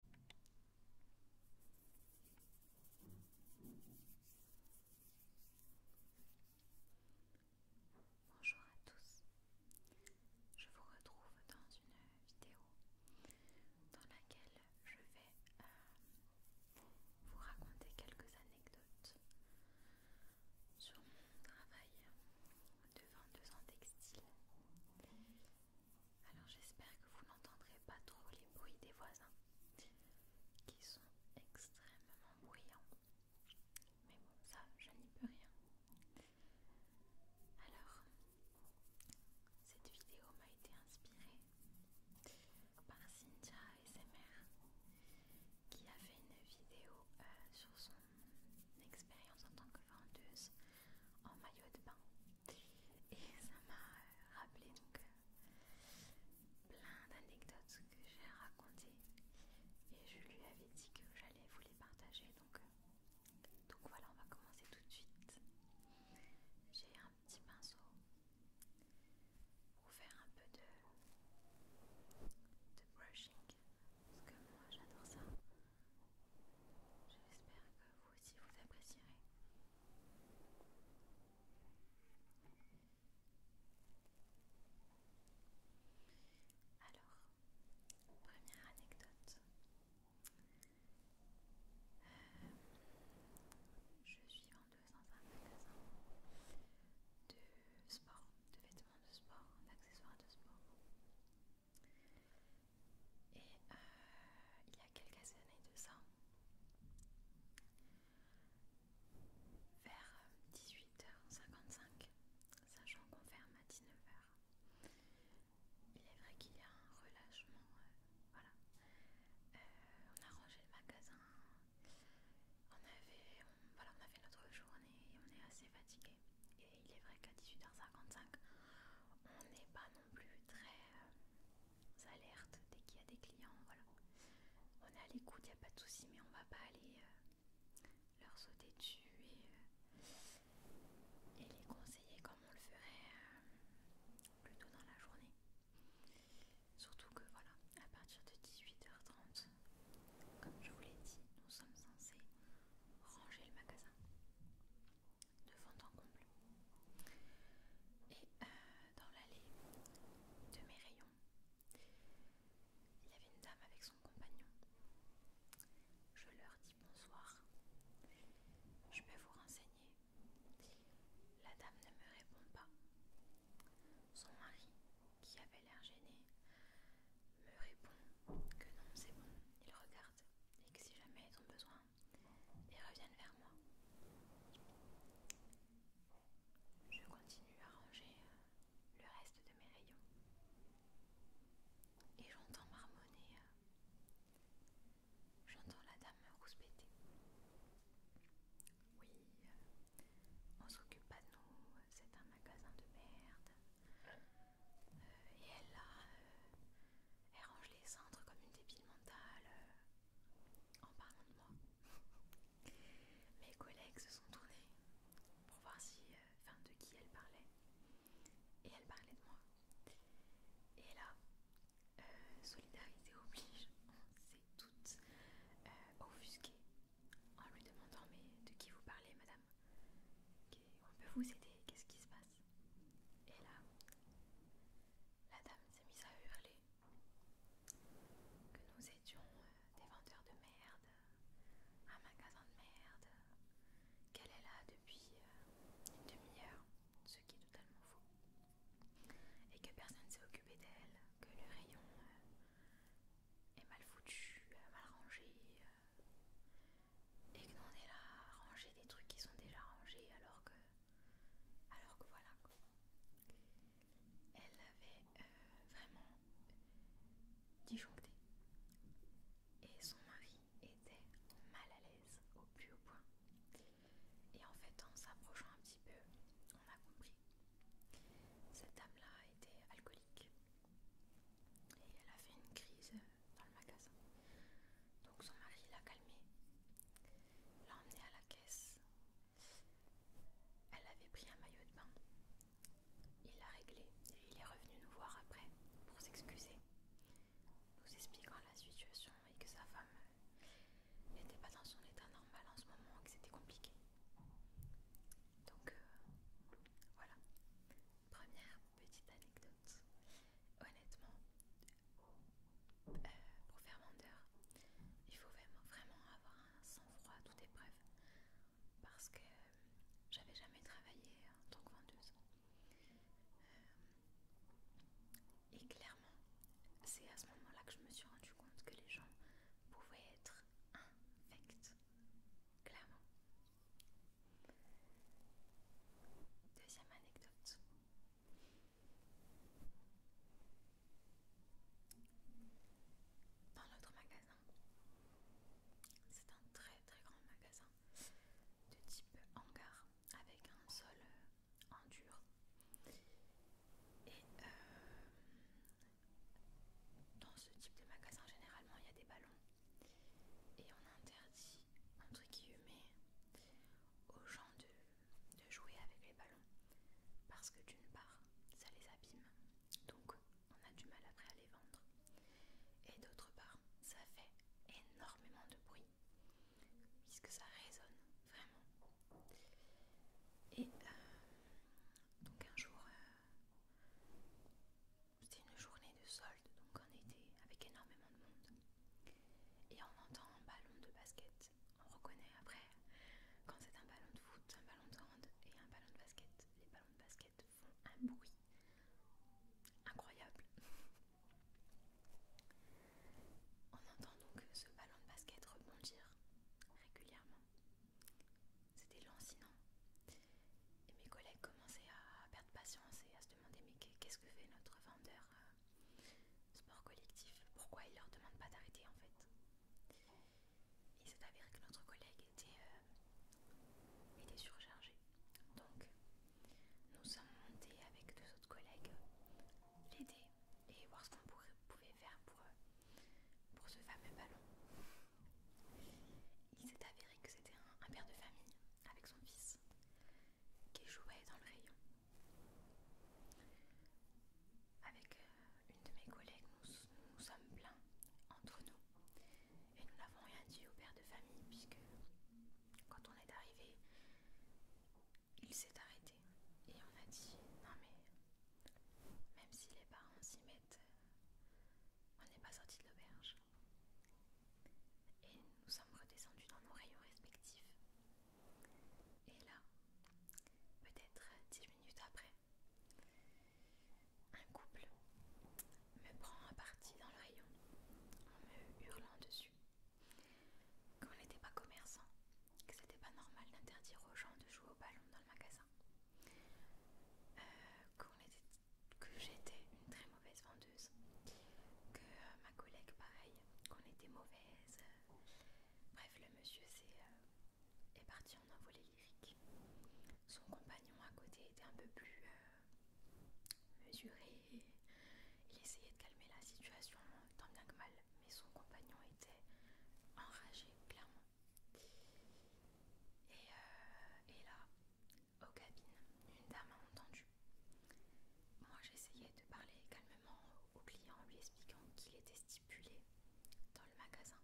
Bonjour à tous, je vous retrouve dans une vidéo dans laquelle je vais euh, vous raconter quelques anecdotes sur mon travail de vendeuse en textile alors j'espère que vous n'entendrez pas trop les bruits des voisins qui sont extrêmement bruyants. Mais bon, ça, je n'y peux rien. Alors, cette vidéo m'a été inspirée par Cynthia ASMR qui a fait une vidéo euh, sur son expérience en tant que vendeuse en maillot de bain et ça m'a rappelé donc euh, plein d'anecdotes que j'ai racontées et je lui avais dit que j'allais vous les partager donc euh, donc voilà on va commencer tout de suite j'ai un petit pinceau pour faire un peu de brushing parce que moi j'adore ça J'espère que vous aussi vous apprécierez. Alors, première anecdote. Euh, je suis en dans un de sport, de vêtements de sport, d'accessoires de sport. Et euh, il y a quelques années de ça, vers 18h55, euh, sachant qu'on ferme à 19h, il est vrai qu'il y a un relâchement. Euh, voilà. on a rangé le magasin. On avait, voilà, on a fait notre journée, on est assez fatigué. Et il est vrai qu'à 18h55, on n'est pas non plus très euh, alerte dès qu'il y a des clients. On est à l'écoute, il n'y a pas de souci, mais on va pas aller euh, leur sauter dessus euh, et, les conseiller comme on le ferait plutôt dans la journée. Surtout que voilà, à partir de 18h30, comme je vous l'ai dit, nous sommes censés ranger le magasin devant ton Et euh, dans l'allée de mes rayons, il y avait une dame avec son compagnon. Je leur dis bonsoir. Je vais vous renseigner. La dame ne me répond pas. Son mari, qui avait l'air gêné, me répond que non, c'est bon. Il regarde et que si jamais ils ont besoin, ils reviennent vers moi. Je continue à ranger euh, le reste de mes rayons et j'entends marmonner. Euh, j'entends la dame rouspéter. Oui, euh, on s'occupe pas de nous, c'est un magasin de merde. Euh, et euh, elle range les centres comme une débile mentale euh, en parlant de moi. Mes collègues se sont tournés pour voir si, de qui elle parlait. Et elle parlait de moi. Et là, solidarité oblige, on s'est toutes offusquées en lui demandant mais de qui vous parlez madame on peut vous aider, qu'est-ce qui se passe Et là, la dame s'est mise à hurler que nous étions euh, des vendeurs de merde, un magasin de merde, qu'elle est là depuis euh, une demi-heure, ce qui est totalement faux, et que personne ne s'est occupé d'elle, que le rayon euh, est mal foutu, mal rangé, et que est là ranger des trucs qui sont déjà rangés alors que alors que voilà Elle avait euh, vraiment disjoncté et son mari était mal à l'aise au plus haut point. Et en fait en s'approchant un petit peu, on a compris. Cette dame-là était alcoolique et elle a fait une crise dans le magasin. Donc son mari l'a calmée, l'a emmenée à la caisse. Elle avait pris un maillot de bain. Il l'a réglé et il est revenu nous voir après pour s'excuser, nous expliquant la situation et que sa femme n'était pas dans son état normal en ce moment, que c'était compliqué. Donc euh, voilà, Première petite anecdote. Honnêtement, euh, pour faire vendeur, il faut vraiment, avoir un sang-froid à toute épreuve. Parce que euh, j'avais jamais travaillé en tant que vendeuse. Euh, et clairement, c'est à ce moment-là que je me suis rendu compte que les gens pouvaient être infects. Clairement. Deuxième anecdote. Dans notre magasin, c'est un très très grand magasin de type hangar avec un sol euh, en dur et euh, dans ce type de magasin, généralement, il y a des ballons. Et on interdit, entre guillemets, aux gens de, jouer avec les ballons. Parce que d'une part, ça les abîme. Donc, on a du mal après à les vendre. Et d'autre part, ça fait énormément de bruit. Puisque ça résonne vraiment. Et euh, donc un jour, euh, c'était une journée de solde, donc en été, avec énormément de monde. Et on entend un ballon de basket. On reconnaît après quand c'est un ballon de foot, un ballon de hand et un ballon de basket. Les ballons de basket font un bruit incroyable. On entend donc ce ballon de basket rebondir régulièrement. C'était lancinant. Et mes collègues commençaient à perdre patience et à se demander mais qu'est-ce que fait notre vendeur euh, sport collectif Pourquoi il leur demande pas d'arrêter en fait Il s'est avéré que notre collègue était, euh, surchargé. Donc nous sommes montés avec deux autres collègues l'aider et voir ce qu'on pouvait faire euh, pour ce fameux ballon. Il s'est avéré que c'était un, père de famille avec son fils qui jouait dans le rayon. Avec euh, une de mes collègues, nous sommes pleins entre nous et nous n'avons rien dit au père de famille puisque quand on est arrivé, il s'est arrêté et on a dit non mais même si les parents s'y mettent on n'est pas sorti de l'auberge. Et nous sommes redescendus dans nos rayons respectifs. Et là, peut-être dix minutes après, un couple me prend à partie dans le rayon en me hurlant dessus qu'on n'était pas commerçant, que c'était pas normal d'interdire aux gens de jouer au ballon dans le magasin. Euh, que j'étais une très mauvaise vendeuse, que euh, ma collègue pareil, qu'on était mauvaise. Euh, bref, le monsieur est, parti en envolée lyrique. Son compagnon à côté était un peu plus mesuré. Il essayait de calmer la situation tant bien que mal, mais son compagnon était enragé, clairement. Euh, et, là, aux cabines, une dame a entendu. Moi j'essayais de parler calmement au client en lui expliquant qu'il était stipulé dans le magasin,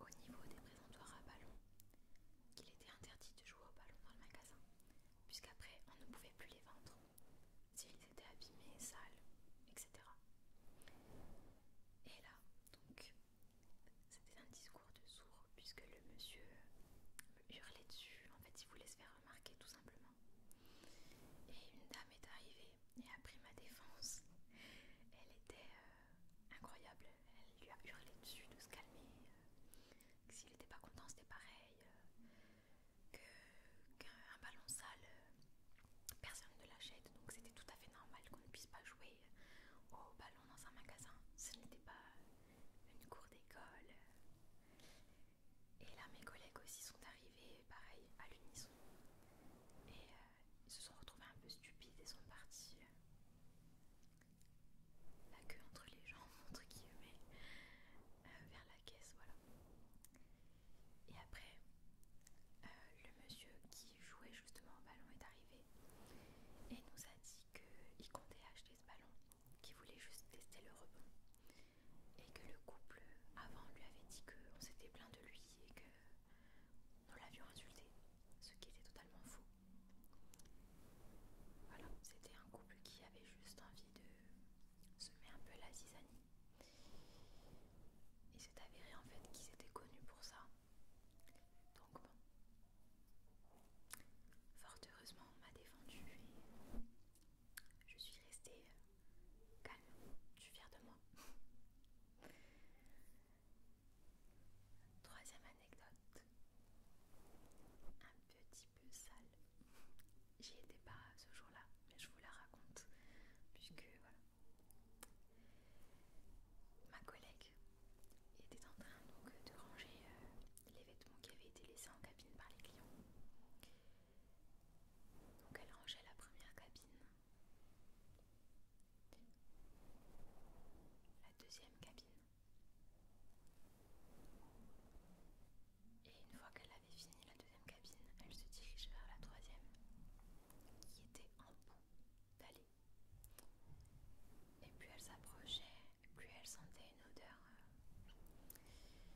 au niveau des présentoirs à ballon, qu'il était interdit de jouer au ballon dans le magasin, puisqu'après on ne pouvait plus les vendre s'ils étaient abîmés, sales, etc. Et là, donc, c'était un discours de sourd puisque le monsieur euh, hurlait dessus. En fait, il voulait se faire remarquer tout simplement. Et une dame est arrivée et a pris ma défense. Elle était euh, incroyable. Elle lui a hurlé dessus de se calmer. Euh, que S'il n'était pas content, c'était pareil. Qu'un ballon sale personne ne l'achète, donc c'était tout à fait normal qu'on ne puisse pas jouer au ballon dans un magasin. Ce n'était pas une cour d'école. Et là, mes collègues aussi sont arrivés, pareil, à l'unisson. Et euh, ils se sont retrouvés un peu stupides et sont partis. Euh, la queue entre les jambes, entre guillemets, mais euh, vers la caisse, voilà. Et après, euh, le monsieur qui jouait justement au ballon est arrivé et nous a dit qu'il comptait acheter ce ballon, qu'il voulait juste tester le rebond. Et que le couple avant lui avait dit qu'on s'était plaint de lui et que nous l'avions insulté, ce qui était totalement faux. Voilà, c'était un couple qui avait juste envie de semer un peu la zizanie et c'est avéré en fait qu'ils étaient connus pour ça. Donc bon. Fort heureusement, on m'a défendu et je suis restée euh, calme. Je suis fière de moi. Troisième anecdote. Un petit peu sale. J'y étais pas ce jour-là, mais je vous la raconte. Puisque voilà, Ma collègue était en train donc de ranger euh, les vêtements qui avaient été laissés en cabine par les clients. Donc elle rangeait la première cabine, la deuxième cabine. Et une fois qu'elle avait fini la deuxième cabine elle se dirige vers la troisième, qui était en bout d'aller Et plus elle s'approchait, plus elle sentait une odeur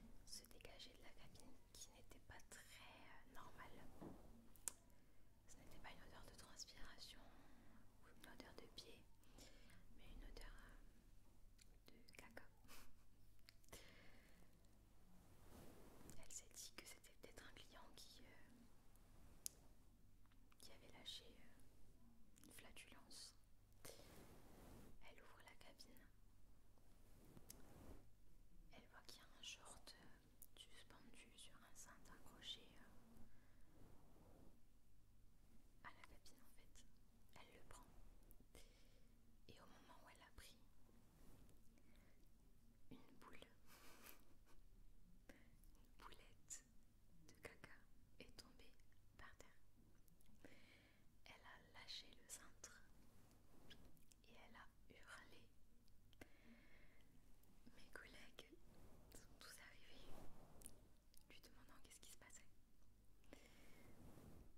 euh, se dégager de la cabine qui n'était pas très euh, normale. Ce n'était pas une odeur de transpiration ou une odeur de pied, mais une odeur euh, de caca. Elle s'est dit que c'était peut-être un client qui, euh, qui avait lâché euh, une flatulence. Elle ouvre la cabine. Elle voit qu'il y a un short euh, suspendu sur un cintre accroché à la cabine en fait. Elle le prend. Et au moment où elle l'a pris, une boule, une boulette de caca est tombée par terre. Elle a lâché le cintre et elle a hurlé. Mes collègues sont tous arrivés, lui demandant qu'est-ce qui se passait.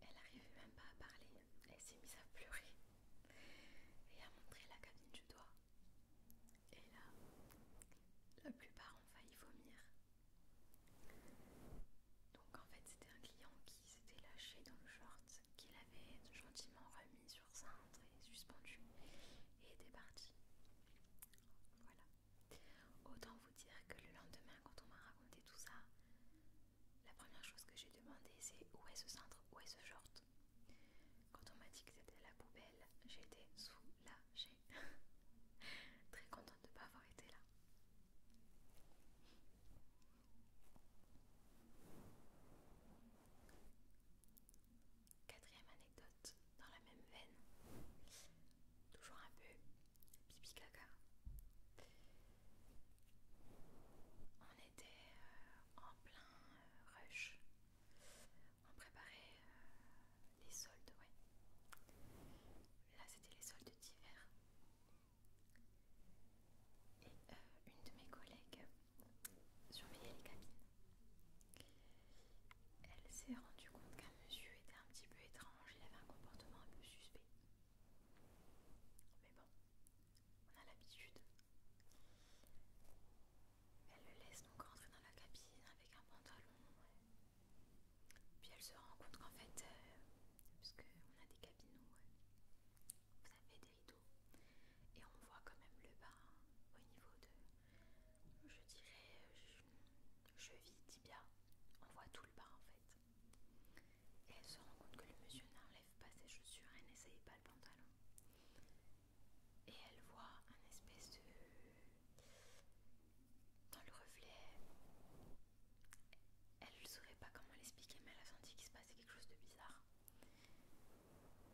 Elle n'arrivait même pas à parler, elle s'est mise à pleurer et a montré la cabine du doigt. Et là, la plupart ont failli vomir. Donc en fait, c'était un client qui s'était lâché dans le short qu'il avait gentiment remis sur cintre et suspendu et était parti. Voilà. Autant vous dire que le lendemain, quand on m'a raconté tout ça, la première chose que j'ai demandé c'est où est ce cintre, où est ce short Quand on m'a dit que c'était la poubelle, sous été soulagée. Très contente de ne pas avoir été là. Quatrième anecdote dans la même veine. Toujours un peu pipi caca. On était euh, en plein euh, rush. On préparait euh, les soldes, ouais. Là, c'était les soldes d'hiver. Et une de mes collègues surveillait les cabines. Elle s'est rendue compte qu'un monsieur était un petit peu étrange, il avait un comportement un peu suspect. Mais bon, on a l'habitude. Elle le laisse donc rentrer dans la cabine avec un pantalon. Puis elle se rend compte qu'en fait, euh, parce qu'on a des cabines vous avez des rideaux et on voit quand même le bar hein, au niveau de, je dirais, euh, je, vis tibia, on voit tout le bas en fait. Et elle se rend compte que le monsieur n'enlève pas ses chaussures et n'essaye pas le pantalon. Et elle voit un espèce de... Dans le reflet, elle ne saurait pas comment l'expliquer, mais elle a senti qu'il se passait quelque chose de bizarre.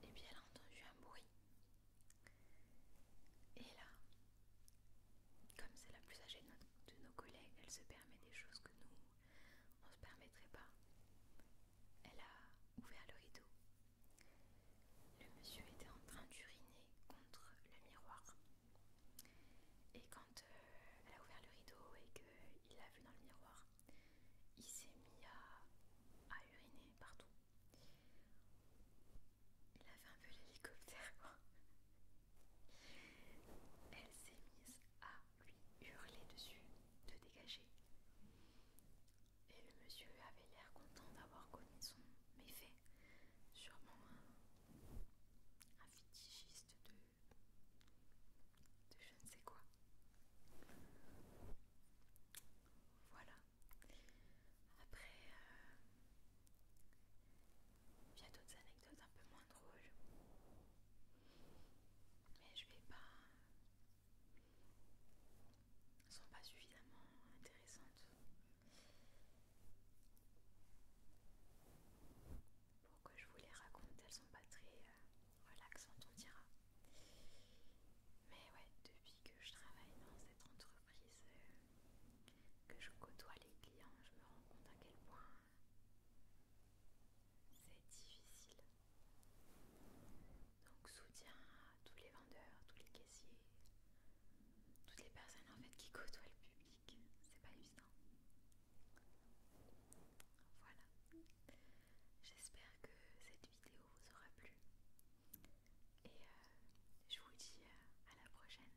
Et puis elle a entendu un bruit. Et là, comme c'est la plus âgée de nos collègues, elle se permet des choses que nous, on se permettrait pas. Elle a ouvert le rideau. Le monsieur était en train d'uriner contre le miroir. Et quand euh, elle a ouvert le rideau et qu'il l'a vu dans le miroir, il s'est mis à, uriner partout. Il avait un peu l'hélicoptère. Elle s'est mise à lui hurler dessus, de dégager. Et le monsieur avait l'air content d'avoir connu son méfait, sûrement un, un fétichiste de, de je ne sais quoi. Voilà. Après, euh, il y a d'autres anecdotes un peu moins drôles. Mais je vais pas. Elles sont pas suffisamment intéressantes pour que je vous les raconte. Elles sont pas très euh, relaxantes, on dira. Mais ouais, depuis que je travaille dans cette entreprise, euh, que je côtoie les clients, je me rends compte à quel point c'est difficile. Donc soutien à tous les vendeurs, tous les caissiers, toutes les personnes en fait qui côtoient le public. C'est pas évident. Voilà. J'espère que cette vidéo vous aura plu. Et euh, je vous dis euh, à la prochaine.